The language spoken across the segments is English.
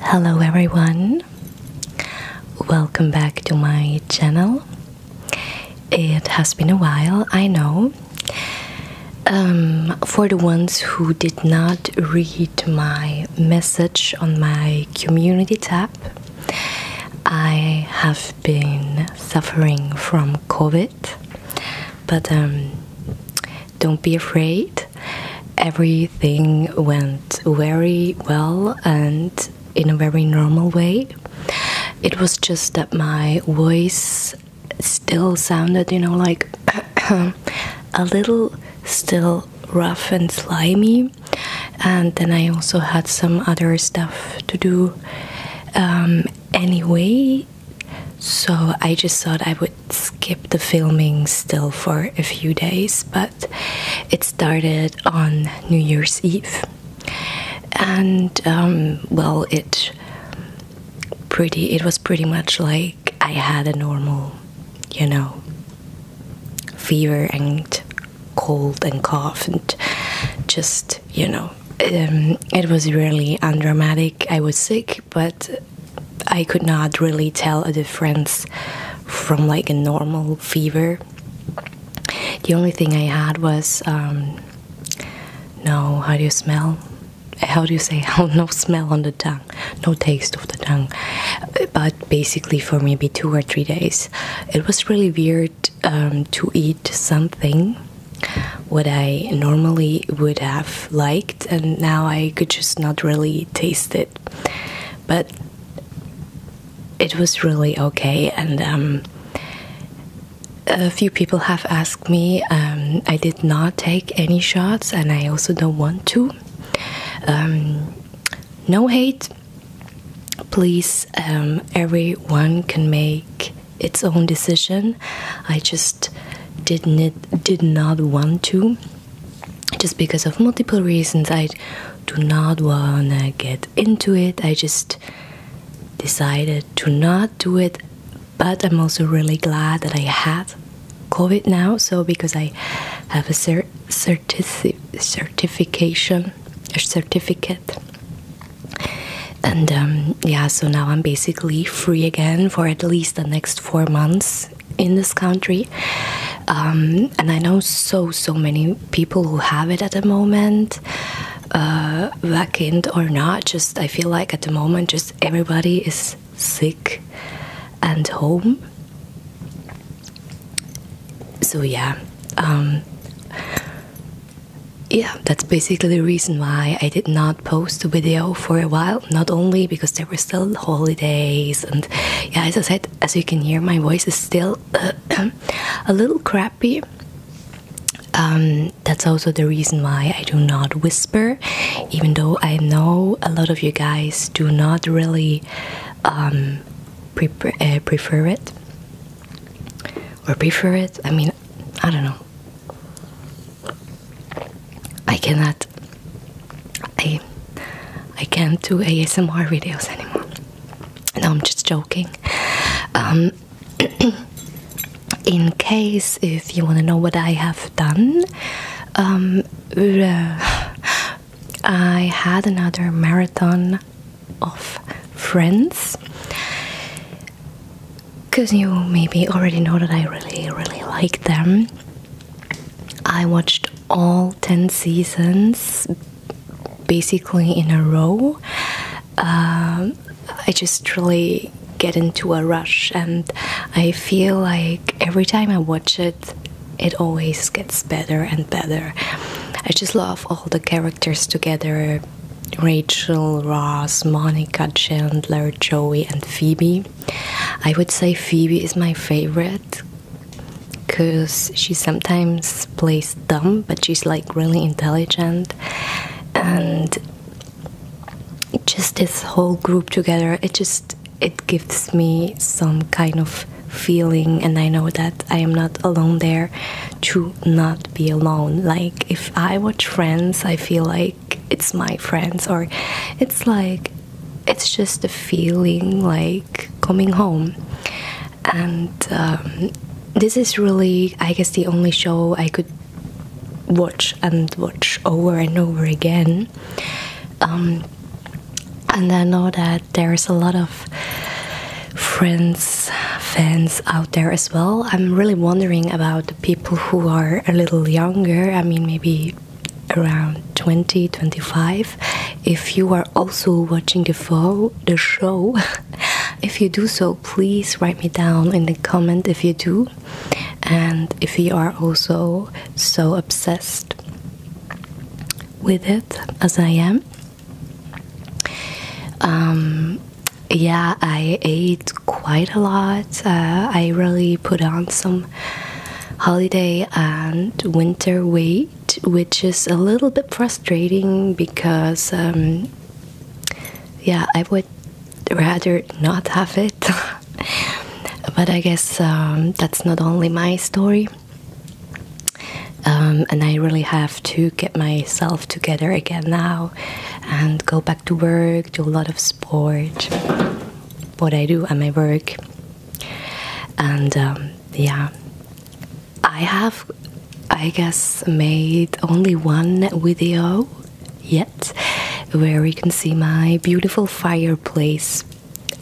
Hello everyone, welcome back to my channel. It has been a while, I know. Um, for the ones who did not read my message on my community tab, I have been suffering from COVID, but um, don't be afraid everything went very well and in a very normal way. It was just that my voice still sounded, you know, like a little still rough and slimy. And then I also had some other stuff to do um, anyway. So I just thought I would skip the filming still for a few days, but it started on New Year's Eve. And um, well, it pretty it was pretty much like I had a normal, you know, fever and cold and cough and just you know um, it was really undramatic. I was sick, but I could not really tell a difference from like a normal fever. The only thing I had was um, no, how do you smell? How do you say? no smell on the tongue, no taste of the tongue. But basically, for maybe two or three days, it was really weird um, to eat something what I normally would have liked, and now I could just not really taste it but it was really okay. And um, a few people have asked me. Um, I did not take any shots, and I also don't want to. Um, no hate. Please, everyone can make its own decision. I just didn't did not want to just because of multiple reasons I do not want to get into it. I just decided to not do it, but I'm also really glad that I had COVID now. So, because I have a cer certification, a certificate. And um, yeah, so now I'm basically free again for at least the next four months in this country um, and i know so so many people who have it at the moment uh, vacant or not just i feel like at the moment just everybody is sick and home so yeah um, yeah that's basically the reason why i did not post a video for a while not only because there were still holidays, and yeah, as I said, as you can hear, my voice is still uh, a little crappy. Um, that's also the reason why I do not whisper, even though I know a lot of you guys do not really um, uh, prefer it or prefer it. I mean, I don't know. I cannot I I can't do ASMR videos anymore. No, I'm just joking. Um, in case if you want to know what I have done, um, I had another marathon of friends. Because you maybe already know that I really, really like them. I watched all 10 seasons basically in a row. Um, I just really get into a rush, and I feel like every time I watch it, it always gets better and better. I just love all the characters together Rachel, Ross, Monica, Chandler, Joey, and Phoebe. I would say Phoebe is my favorite because she sometimes plays dumb, but she's like really intelligent, and just this whole group together, it just it gives me some kind of feeling and i know that i am not alone there to not be alone like if i watch friends i feel like it's my friends or it's like it's just a feeling like coming home. And um, this is really, I guess, the only show I could watch and watch over and over again. Um, and I know that there's a lot of friends, fans out there as well. I'm really wondering about the people who are a little younger. I mean, maybe around 20 25 if you are also watching the show if you do so please write me down in the comment if you do and if you are also so obsessed with it as i am um yeah i ate quite a lot uh, i really put on some holiday and winter weight, which is a little bit frustrating because, um, yeah, I would rather not have it. but I guess um, that's not only my story. Um, and I really have to get myself together again now and go back to work, do a lot of sport, what I do at my work and um, yeah i have i guess made only one video yet where you can see my beautiful fireplace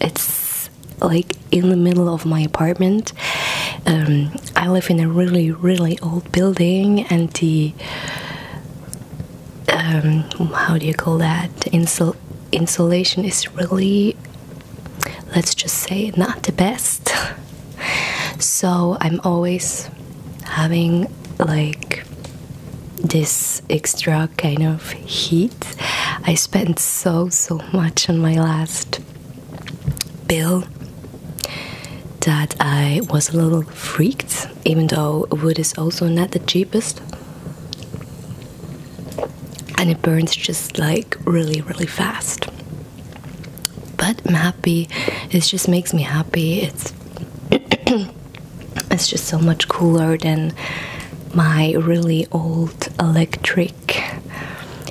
it's like in the middle of my apartment um, i live in a really really old building and the um, how do you call that Insul insulation is really, let's just say, not the best. so I'm always having like this extra kind of heat. I spent so so much on my last bill that I was a little freaked, even though wood is also not the cheapest and it burns just like really, really fast. But I'm happy. It just makes me happy. It's it's just so much cooler than my really old electric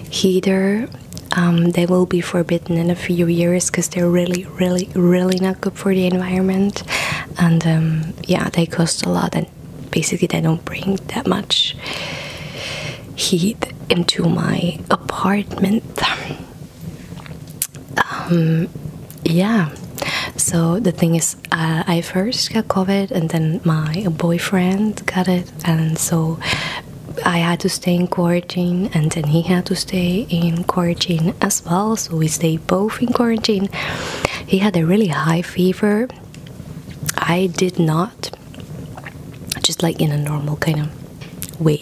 heater. Um, they will be forbidden in a few years because they're really, really, really not good for the environment. And um, yeah, they cost a lot, basically they don't bring that much heat into my apartment. Um, yeah, so the thing is, uh, I first got COVID and then my boyfriend got it, and so I had to stay in quarantine, and then he had to stay in quarantine as well. So we stayed both in quarantine. He had a really high fever I did not, just like in a normal kind of way.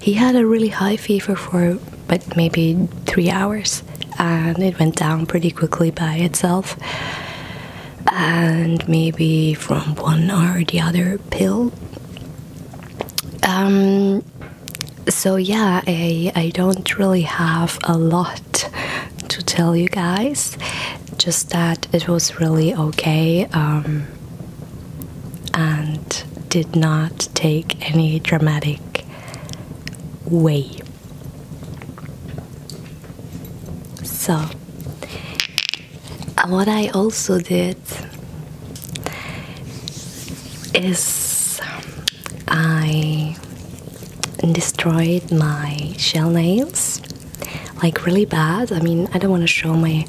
He had a really high fever for but maybe three hours, and it went down pretty quickly by itself. And maybe from one or the other pill. Um, so yeah, I I don't really have a lot to tell you guys, just that it was really okay um, and did not take any dramatic way. So, what I also did is I destroyed my shell nails like really bad. I mean, I don't want to show my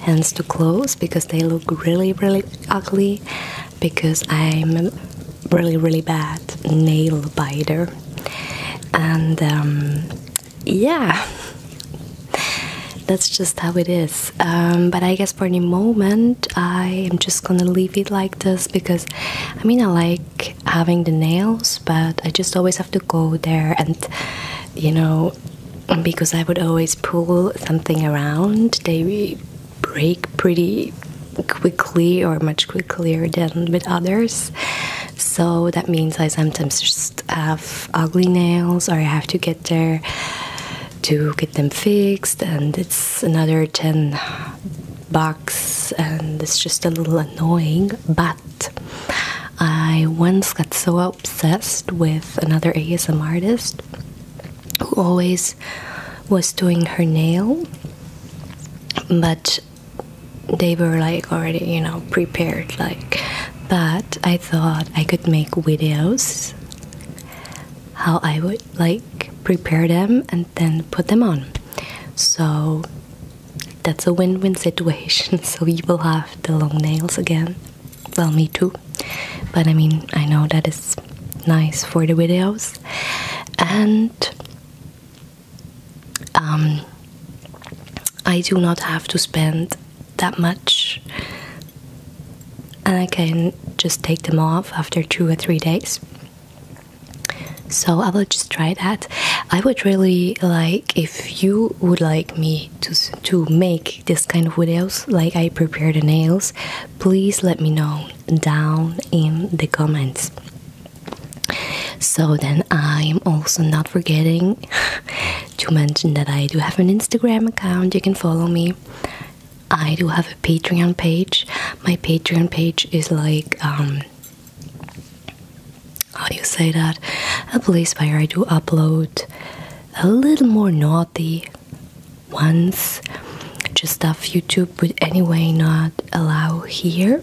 hands too close because they look really, really ugly because I'm really, really bad nail biter. And um, yeah, that's just how it is. Um, but I guess for the moment, I am just gonna leave it like this because I mean, I like having the nails, but I just always have to go there and, you know, because I would always pull something around, they break pretty quickly or much quicker than with others. So that means I sometimes just have ugly nails or I have to get there to get them fixed and it's another 10 Box and it's just a little annoying. But I once got so obsessed with another ASM artist who always was doing her nail, but they were like already, you know, prepared. Like, but I thought I could make videos how I would like prepare them and then put them on. So that's a win-win situation so you will have the long nails again well me too but i mean i know that is nice for the videos and um, i do not have to spend that much and i can just take them off after two or three days so i will just try that i would really like if you would like me to to make this kind of videos like i prepare the nails please let me know down in the comments so then i am also not forgetting to mention that i do have an instagram account you can follow me i do have a patreon page my patreon page is like um how do you say that? A place where I do upload a little more naughty ones, just stuff YouTube would anyway not allow here.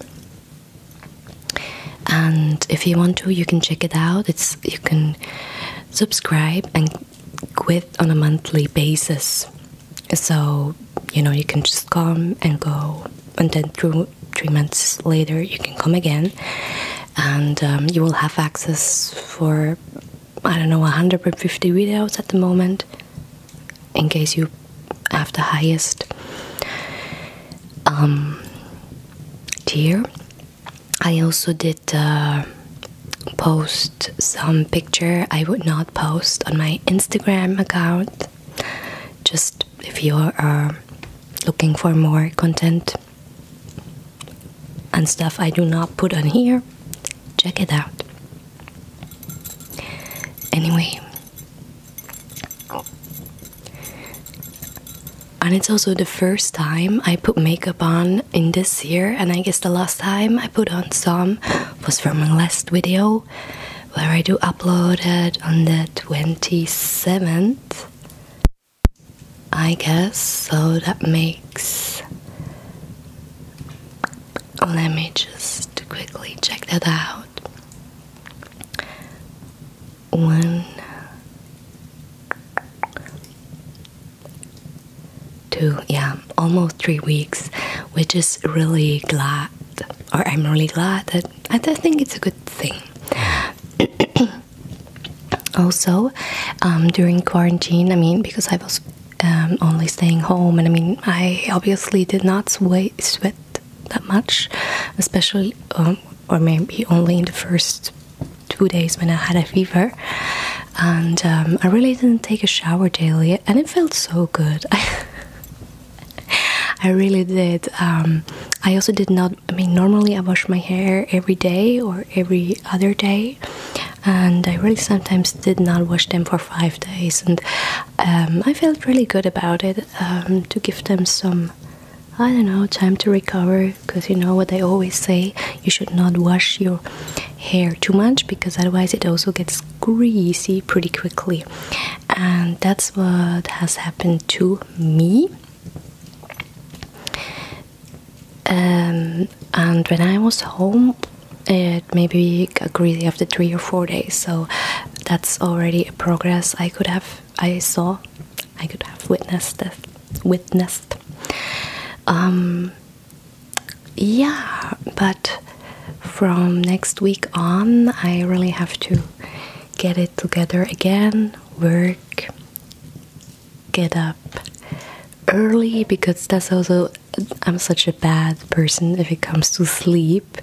And if you want to, you can check it out. It's you can subscribe and quit on a monthly basis. So, you know, you can just come and go and then through three months later you can come again and um, you will have access for i don't know 150 videos at the moment in case you have the highest um, tier i also did uh, post some picture i would not post on my instagram account just if you are uh, looking for more content and stuff I do not put on here, check it out. Anyway, and it's also the first time I put makeup on in this year, and I guess the last time I put on some was from my last video where I do upload it on the 27th, I guess. So that makes. Let me just quickly check that out. One, two, yeah, almost three weeks, We're just really glad, or I'm really glad that I think it's a good thing. also, um, during quarantine, I mean, because I was um, only staying home, and I mean, I obviously did not sweat that much, especially um, or maybe only in the first two days when I had a fever. And I really didn't take a shower daily, and it felt so good. I really did. Um, I also did not. I mean, normally I wash my hair every day or every other day, and I really sometimes did not wash them for five days. And um, I felt really good about it um, to give them some, I don't know, time to recover. Because you know what I always say: you should not wash your hair too much because otherwise it also gets greasy pretty quickly and that's what has happened to me. Um, and when I was home, it maybe got greedy after three or four days, so that's already a progress I could have. I saw, I could have witnessed this. Witnessed. Um, yeah, but from next week on, I really have to get it together again, work, get up early because that's also I'm such a bad person if it comes to sleep.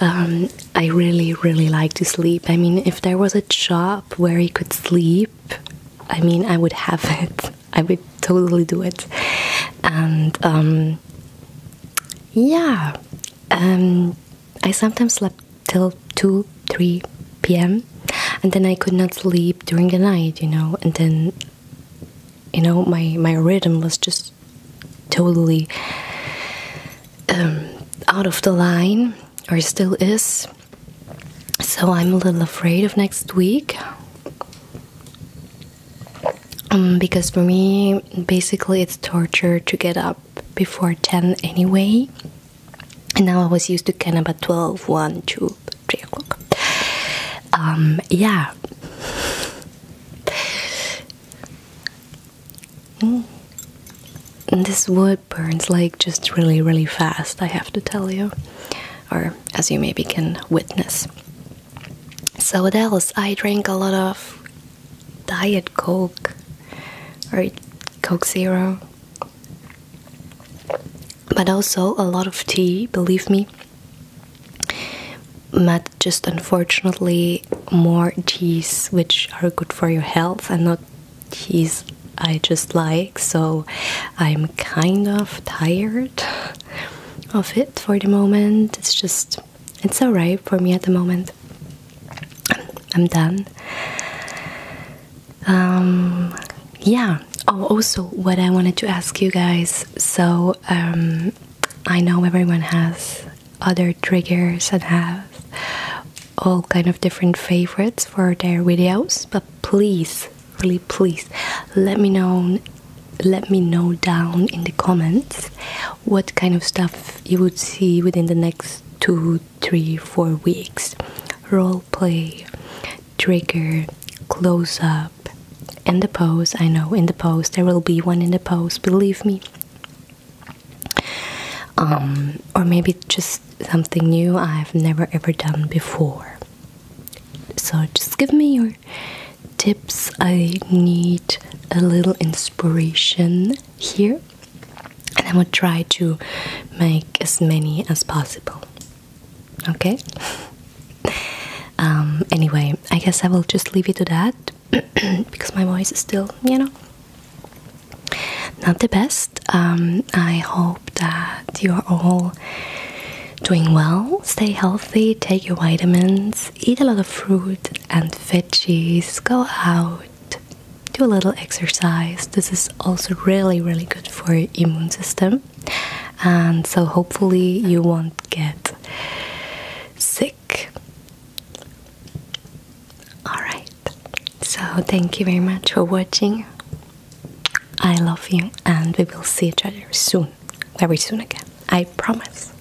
Um, I really, really like to sleep. I mean, if there was a job where you could sleep, I mean, I would have it. I would totally do it. And um, yeah, um, I sometimes slept till 2 3 p.m. and then I could not sleep during the night, you know, and then you know my my rhythm was just totally um, out of the line or still is. So I'm a little afraid of next week. Um, because for me, basically, it's torture to get up before 10 anyway and now I was used to Canada 12, 1, 2, 3 o'clock um, yeah mm. this wood burns like just really really fast I have to tell you or as you maybe can witness so what else I drink a lot of diet coke or coke zero but also a lot of tea believe me but just unfortunately more teas which are good for your health and not teas i just like so i'm kind of tired of it for the moment it's just it's alright for me at the moment. I'm done. Um, yeah. Oh, also, what I wanted to ask you guys. So, um, I know everyone has other triggers and has all kind of different favorites for their videos, but please, really, please, let me know. Let me know down in the comments what kind of stuff you would see within the next two, three, four weeks role play, trigger, close up, and the pose. I know in the pose there will be one in the pose, believe me. Um, or maybe just something new I've never ever done before. So just give me your tips. I need a little inspiration here and I would try to make as many as possible. Okay? Um, anyway, I guess I will just leave it to that because my voice is still, you know, not the best. Um, I hope that you're all doing well. Stay healthy, take your vitamins, eat a lot of fruit and veggies, go out do a little exercise. This is also really, really good for your immune system. And so hopefully you won't get sick. Alright, so thank you very much for watching. I love you and we will see each other soon. Very soon again. I promise.